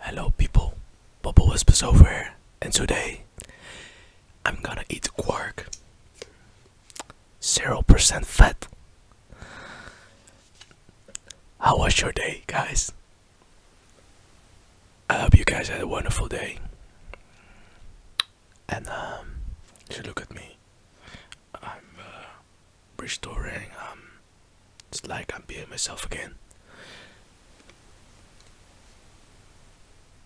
Hello people, Bubble Whispers over here, and today I'm gonna eat quark. 0% fat. How was your day, guys? I hope you guys had a wonderful day. And um, you should look at me. I'm uh, restoring um, it's like I'm being myself again.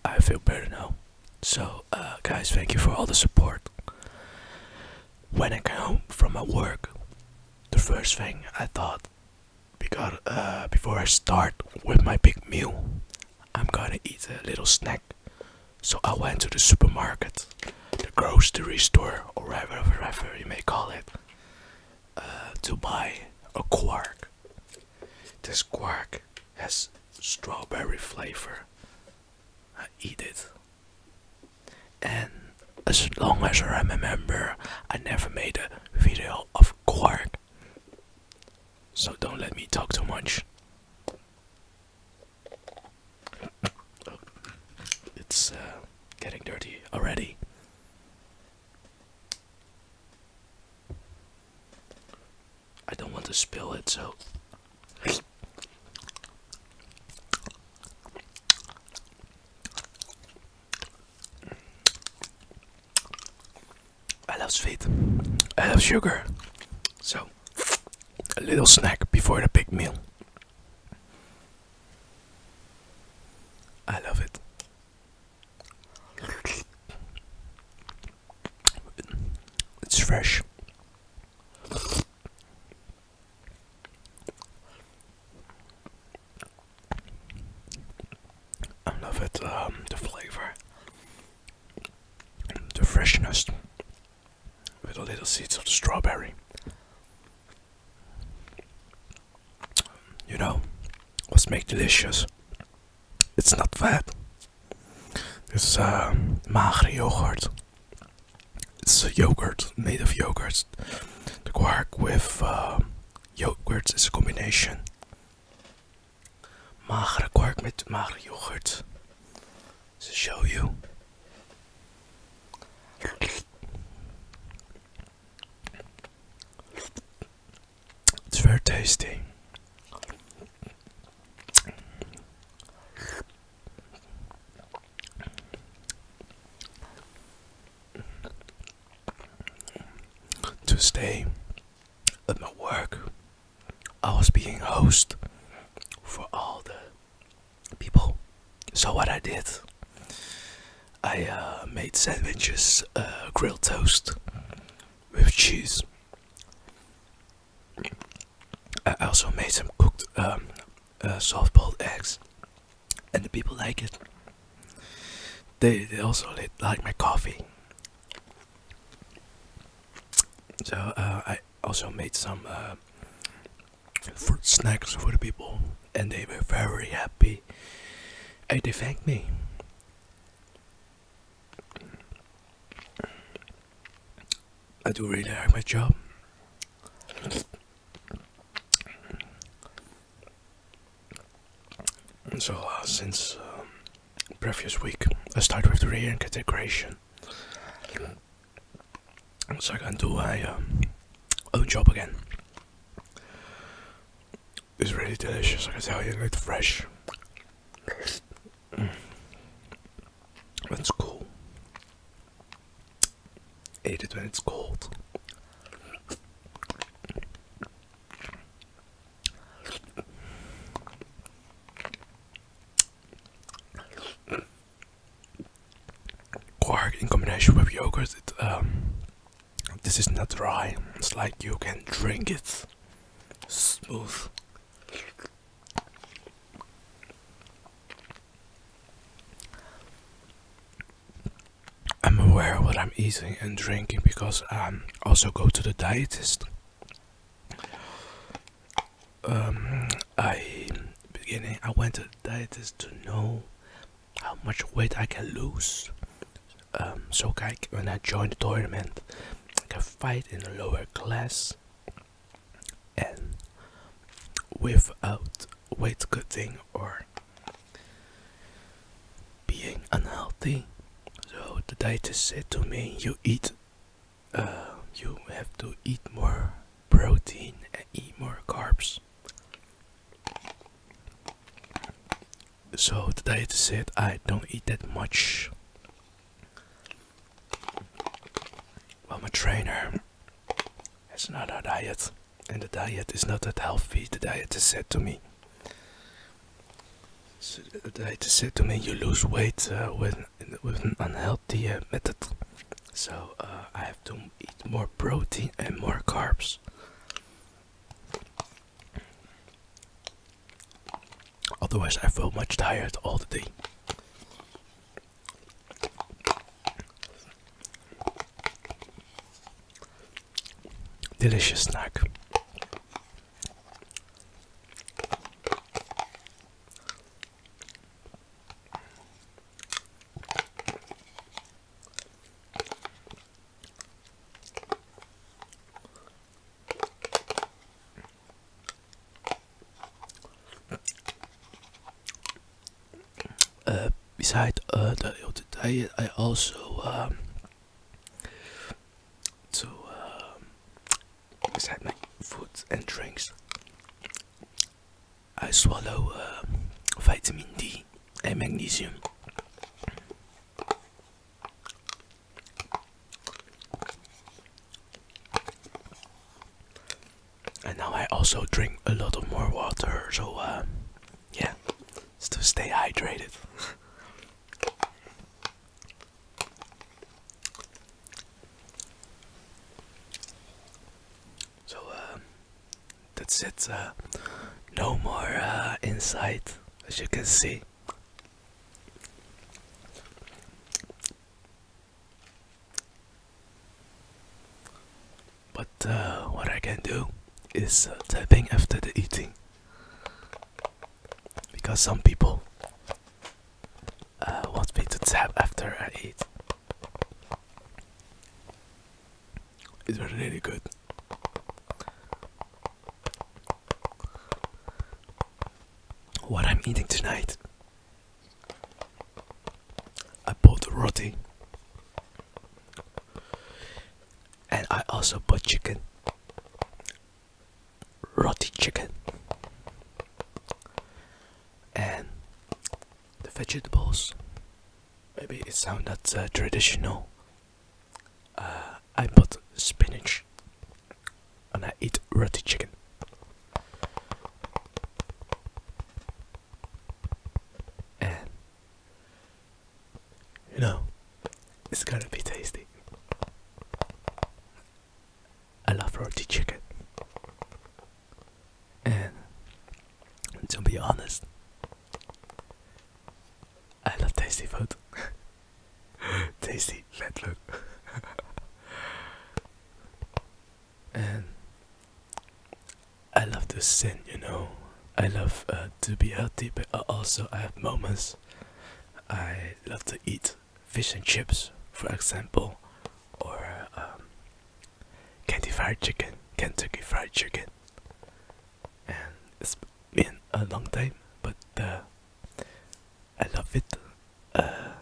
I feel better now. So, uh, guys, thank you for all the support. When I came home from my work, the first thing I thought, because uh, before I start with my big meal, I'm gonna eat a little snack. So I went to the supermarket, the grocery store, or whatever you may call it. Uh, to buy a quark. This quark has strawberry flavor. I eat it. And as long as I remember, I never made a video of quark. So don't let me talk too much. It's uh, getting dirty already. I don't want to spill it, so. I love sweet. I love sugar. So, a little snack before the big meal. I love it. It's fresh. I love it, um, the flavor, the freshness, with the little seeds of the strawberry. You know, what's make delicious? It's not fat. is uh, magere yogurt. It's a yogurt made of yogurt. The quark with uh, yogurt is a combination. Magre quark met magere yogurt. To show you. It's very tasty. Tuesday at my work, I was being host for all the people. So what I did, I uh, made sandwiches, uh, grilled toast with cheese. I also made some cooked um, uh, soft-boiled eggs, and the people like it. They they also like my coffee. So I also made some for snacks for the people, and they were very happy. And they thanked me. I do really like my job. So uh, since uh, previous week, I started with the reintegration so I can do my um, own job again. It's really delicious, I can tell you, it's fresh. Mm. It's cool. Eat it when it's cold. Quark in combination with yogurt, it, um, this is not dry, it's like you can drink it smooth. I'm aware what I'm eating and drinking because I um, also go to the dietist. Um, I beginning I went to dietist to know how much weight I can lose. Um, so I, when I joined the tournament, I can fight in a lower class and without weight cutting or being unhealthy. So the dietist said to me, "You eat, uh, you have to eat more protein and eat more carbs." So the diet is it, I don't eat that much. I'm a trainer It's not a diet, and the diet is not that healthy. The diet is said to me. So the diet said to me, you lose weight uh, with with an unhealthy the uh, method. So uh, I have to eat more protein and more carbs. Otherwise, I feel much tired all the day. Delicious snack beside uh, the diet, I also um, to um, my foods and drinks, I swallow uh, vitamin D and magnesium. And now I also drink a lot of more water, so uh, yeah, it's to stay hydrated. So uh, that's it. Uh, no more uh, inside, as you can see. But uh, what I can do is uh, tapping after the eating, because some people want me to tap after I eat. It's really good. What I'm eating tonight, I bought roti and I also bought chicken, roti chicken, and the vegetables. Maybe it sounds not uh, traditional. Uh, I put spinach and I eat roti chicken. And you know, it's gonna be tasty. I love roti chicken. And to be honest, I love tasty food. tasty fat look. and I love the scent, you know. I love uh, to be healthy, but also I have moments. I love to eat fish and chips, for example, or um, Kentucky Fried Chicken, Kentucky Fried Chicken, and it's been a long time, but uh, I love it. Uh,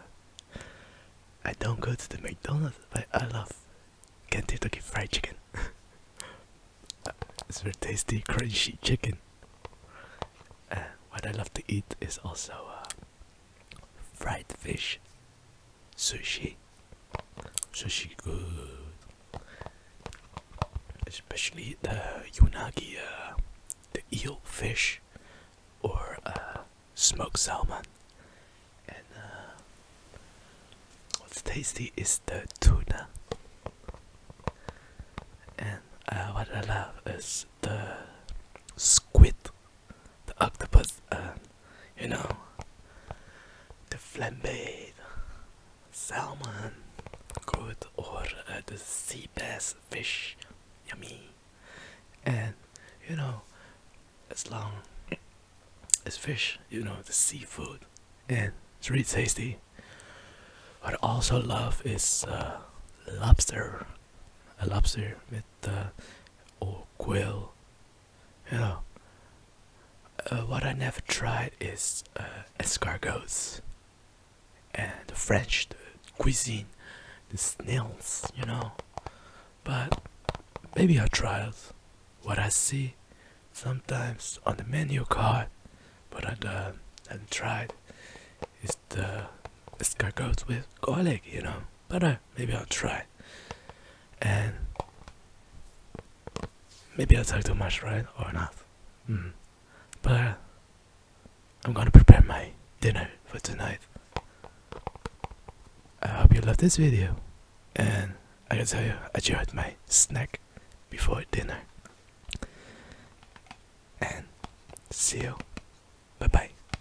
I don't go to the McDonald's, but I love Kentucky Fried Chicken. it's very tasty, crunchy chicken. Uh, what I love to eat is also uh, fried fish. Sushi. Sushi good. Especially the unagi, uh, the eel fish, or uh, smoked salmon. And uh, what's tasty is the tuna. And what I love is the squid the octopus and you know the flambéed salmon good or uh, the sea bass fish yummy and you know as long as fish you know the seafood and it's really tasty what I also love is uh, lobster a lobster with the old quill. You know, uh, what I never tried is uh, escargots and French cuisine, the snails, you know. But maybe I'll try it. What I see sometimes on the menu card, but I uh, haven't tried, is the escargots with garlic, you know. But I maybe I'll try and maybe I talk too much right or not hmm. but I'm gonna prepare my dinner for tonight I hope you love this video and I can tell you I enjoyed my snack before dinner and see you bye bye